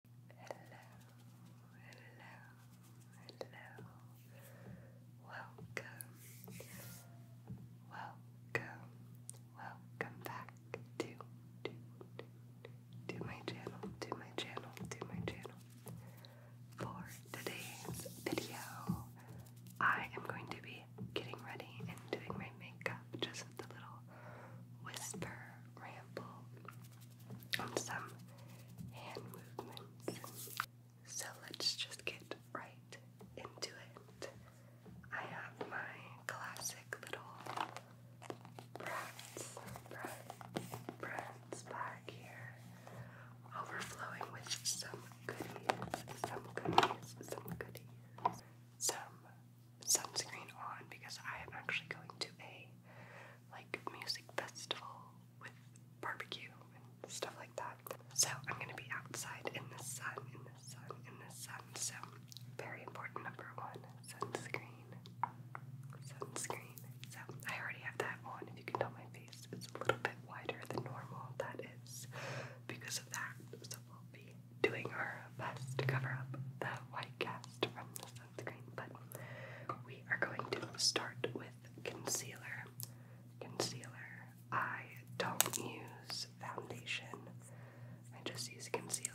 hello, hello. Welcome, welcome, welcome back to, to, to, my channel, to my channel, to my channel. For today's video, I am going to be getting ready and doing my makeup, just with a little whisper ramble some hand movements. So let's just get right into it. I have my classic little Bratz, Bratz, Bratz bag here, overflowing with some goodies, some goodies, some goodies, some sunscreen on because I am actually going to a like music festival with barbecue and stuff like that. So I'm gonna be outside in the sun, in the sun, in the sun. So very important number one, sunscreen. Sunscreen. So I already have that on. If you can tell my face, it's a little bit wider than normal. That is because of that. So we'll be doing our best to cover up the white cast from the sunscreen, but we are going to start with concealer. Concealer. I don't use foundation, I just use concealer.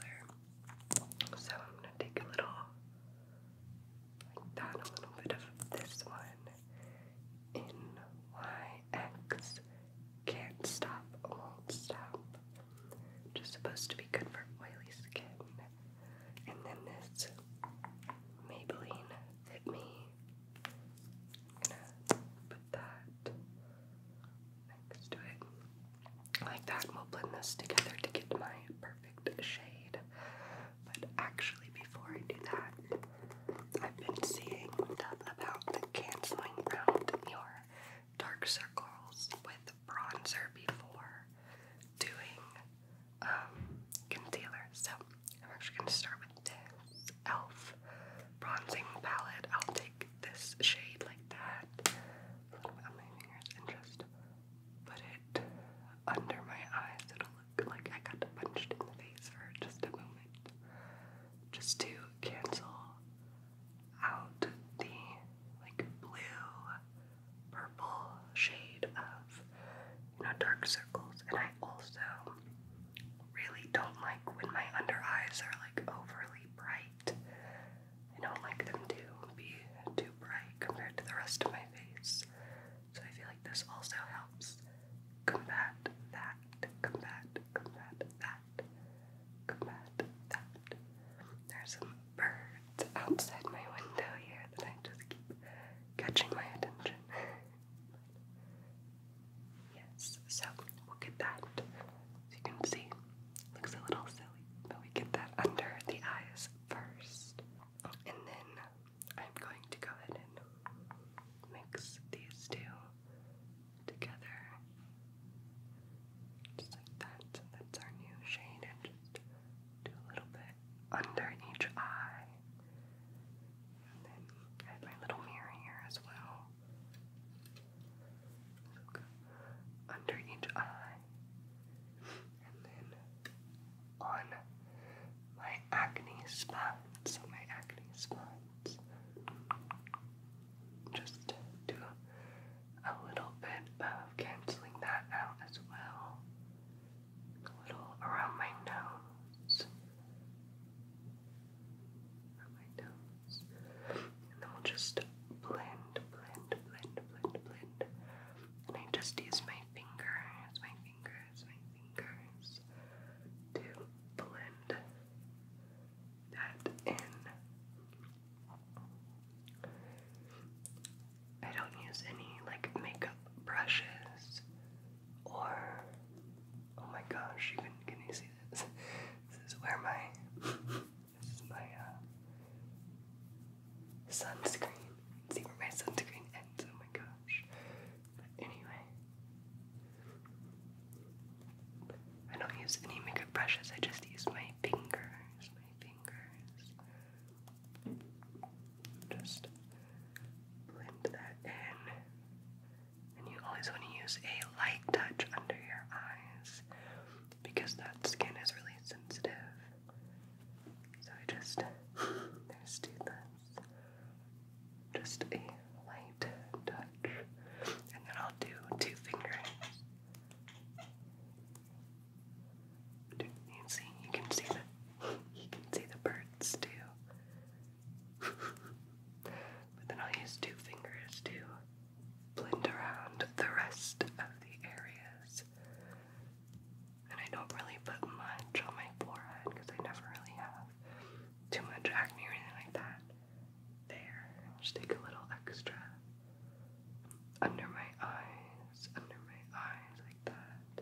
So I'm going to take a little, like that, a little bit of this one. NYX. Can't stop, won't stop which supposed to be good for oily skin. And then this Maybelline Fit Me. gonna put that next to it. Like that, and we'll blend this together to get my perfect shade. But actually, before I do that, I've been seeing stuff about canceling out your dark circles with bronzer before doing um, concealer. So I'm actually going to start with this e.l.f. bronzing palette. I'll take this shade like that, a little on my fingers, and just put it under my eyes. It'll look like I got punched in the face for just a moment, just to cancel out the like blue purple shade of you know dark circles and I also really don't like when my under eyes are like overly bright. I don't like them to be too bright compared to the rest of my face. So I feel like this also helps combat that, combat, combat that that, There's some birds outside my window here that I just keep catching my attention. yes, so we'll get that. As you can see, looks a little silly, but we get that under the eyes first. And then I'm going to go ahead and mix these two together. Just like that. that's our new shade. And just do a little bit under each eye. And then I have my little mirror here as well. under each eye. And then on my acne spot. So my acne spot. Just do a little bit of canceling that out as well. A little around my nose. Around my nose. And then we'll just blend, blend, blend, blend, blend. And I just use my fingers, my fingers, my fingers to blend that in. I don't use any like makeup brushes or oh my gosh, you can can you see this? This is where my this is my uh, sunscreen. See where my sunscreen ends, oh my gosh. But anyway, I don't use any makeup brushes, I just use my fingers, my fingers. Just blend that in. And you always want to use a light touch under your eyes because that skin is really sensitive. So I just, there's two things. Just a light touch. And then I'll do two fingers. You see, you can see the, you can see the birds too. but then I'll use two fingers to blend around the rest of the areas. And I don't really put much on my forehead because I never really have too much acne or anything like that. There. Just take a little extra under my eyes, under my eyes, like that.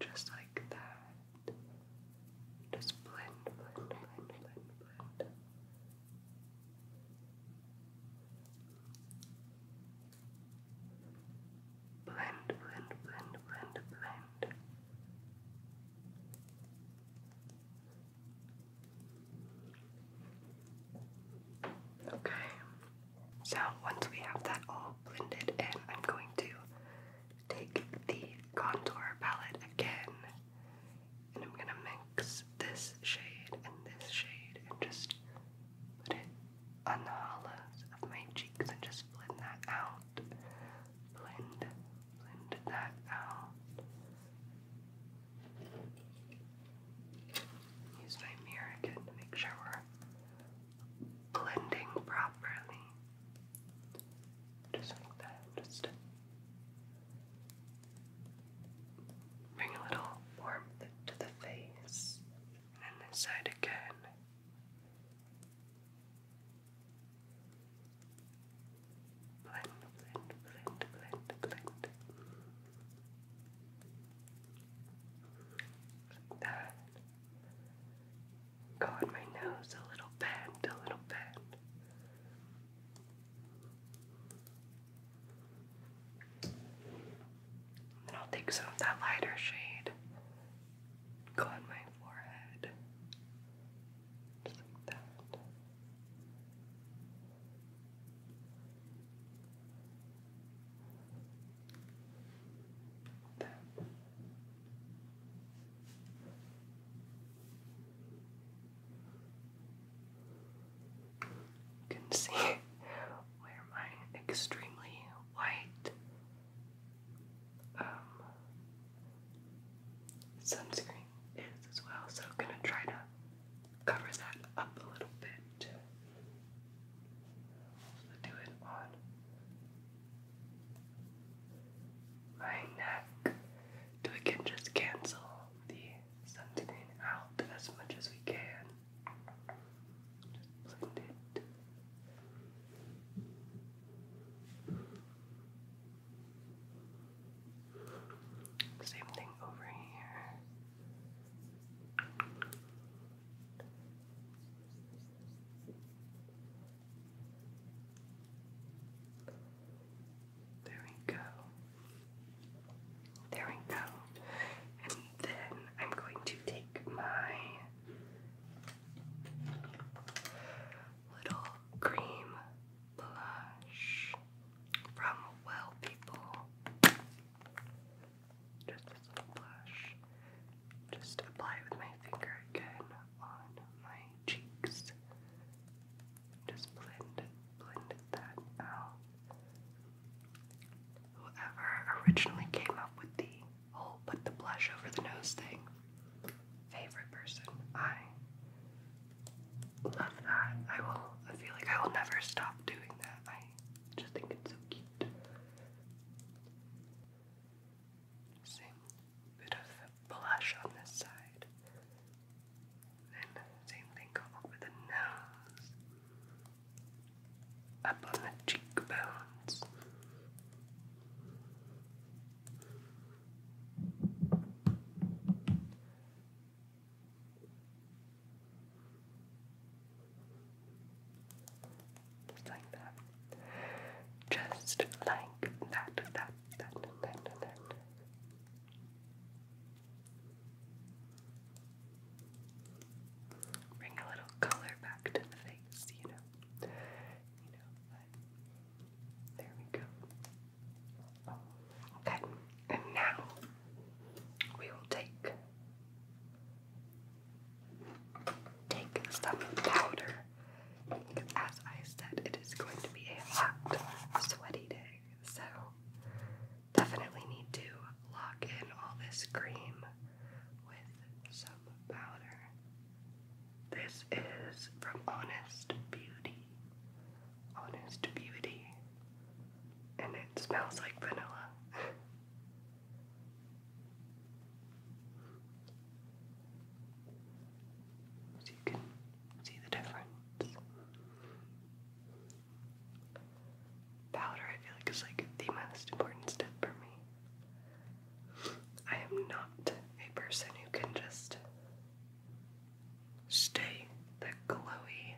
Just like that. Just blend, blend, blend, blend, blend. Blend, blend, blend, blend, blend. Okay, so once we have that all blended in, I'm going to take the contour palette again and I'm gonna mix this shade and this shade and just put it the hollows of my cheeks and just blend that out. Blend, blend that out. Use my mirror again to make sure we're blending properly. Just like that, just Bring a little warmth to the face, and then this side again. Blend, blend, blend, blend, blend. Like that. Go on my nose a little bend, a little bend. And I'll take some of that lighter shade, go on my forehead, just like that. There. You can see where my extremely white um, sunscreen is as well. So gonna try to cover that up a little bit. do it on my neck. So I can just cancel the something out as much as we can. Just blend it. Same thing over here. There we go. There we go. And then I'm going to take my little cream blush from Well People. Just this little blush. Just apply it with my finger again on my cheeks. Just blend, blend that out. Whoever originally came up with the whole put the blush over the nose thing, favorite person. I love that. I will. I feel like I will never stop doing that. I just think it's so cute. Same bit of blush on this side same thing go over the nose. Up on the cheekbones. Just like that. Just like that, that, that, that, that. Bring a little color back to the face, you know. You know, there we go. Okay, and now we will take take some powder. As I said, it is going to be a hot, sweaty day. So definitely need to lock in all this cream with some powder. This is from Honest Beauty. Honest Beauty. And it smells like vanilla. so you can See the difference? Powder, I feel like, is like the most important step for me. I am not a person who can just stay the glowy,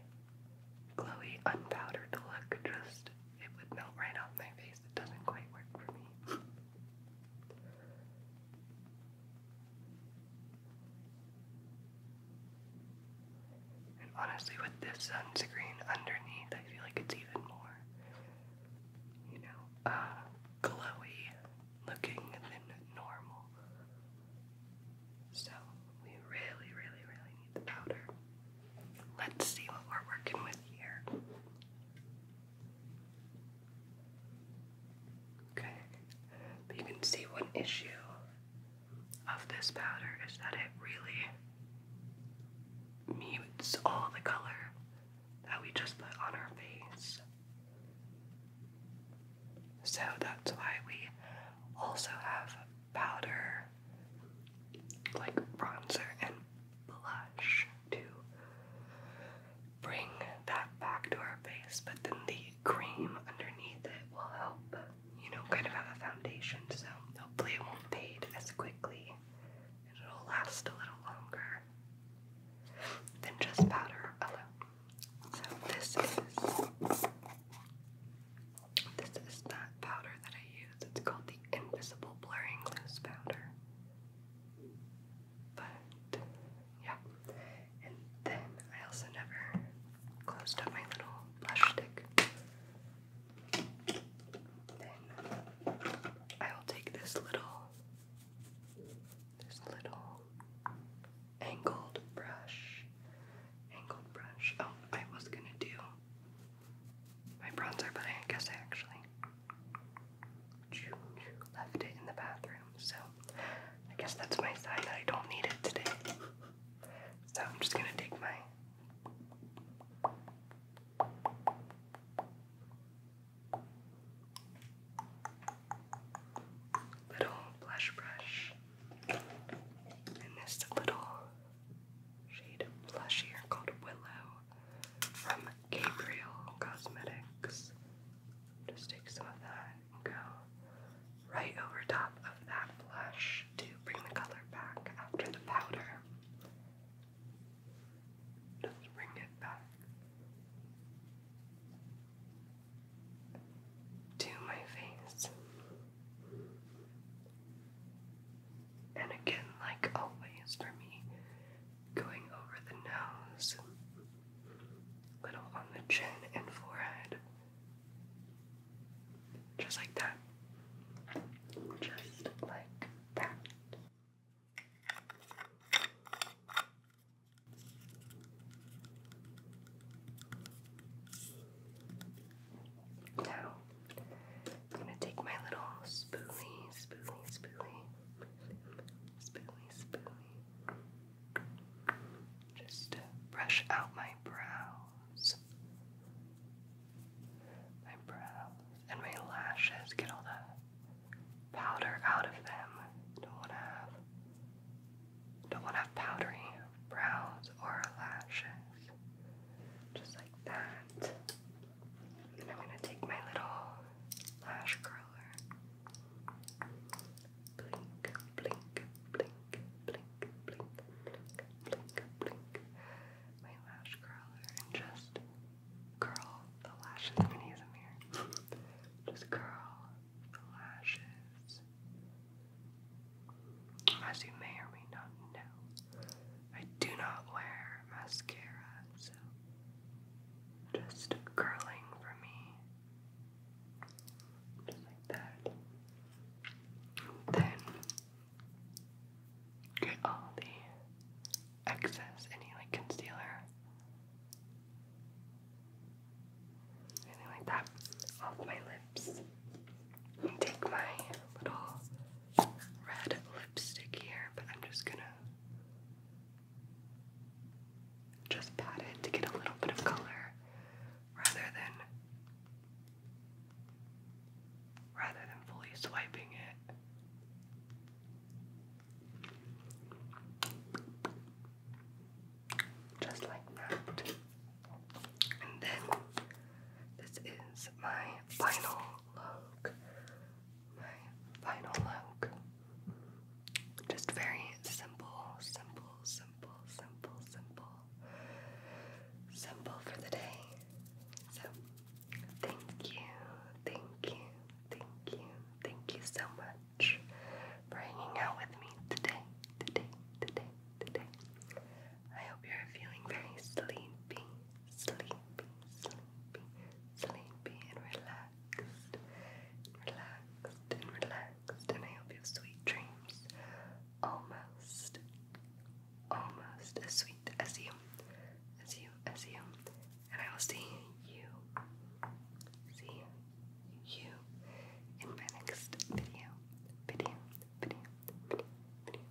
glowy, unpowdered look. Just, it would melt right off my face. It doesn't quite work for me. And honestly, with this sunscreen underneath, I feel like it's even more, you know, uh, glowy looking than normal. So, we really, really, really need the powder. Let's see what we're working with here. Okay, but you can see one issue of this powder is that it really mutes all the color that we just put on our face. So that's why we also have powder like bronzer and blush too bring that back to our face, but then the cream underneath it will help, you know, kind of have a foundation. So hopefully it won't fade as quickly and it'll last a little longer than just powder alone. So this is this is that powder that I use. It's called the Invisible Blurring Loose Powder. But yeah. And then I also never closed up my little brush stick. Then I will take this little this little angled brush. Angled brush. Oh, I was gonna do my bronzer, but I guess I actually left it in the bathroom. So I guess that's my sign that I don't need it today. So I'm just gonna take my little blush brush and this little shade of blush here called Willow from Gabriel Cosmetics. Just take some of that and go right over top of that blush to bring the color back after the powder. Just bring it back to my face. And again, like always for me, going over the nose little on the chin and forehead. Just like that. Just like that. Now, I'm going to take my little spoolie, spoolie, spoolie, spoolie, spoolie. Just brush out my brows. My brows and my lashes. Get all the powder out of them. Don't wanna have don't wanna have powdery brows or lashes. Just like that. And I'm gonna take my little lash curler. Blink, blink, blink, blink, blink, blink, blink. My lash curler and just curl the lashes. I'm a mirror. just curl the lashes. As you may or may not know, I do not wear mascara, so just curling for me. Just like that. Then get all the excess, any like concealer, anything like that, off my lips. take my little red lipstick here, but I'm just gonna just pat it to get a little bit of color rather than rather than fully swiping it. Just like that. And then this is my final look my final look. Just very simple, simple, simple, simple, simple, simple for the day. So, thank you, thank you, thank you, thank you so much for hanging out with me today, today, today, today. I hope you're feeling very sleepy, sleepy, sleepy, sleepy, and relaxed, relaxed, and relaxed. And I hope you have sweet dreams. Almost, almost as sweet as you, as you, as you. And I will see you, see you in my next video, video, video, video, video.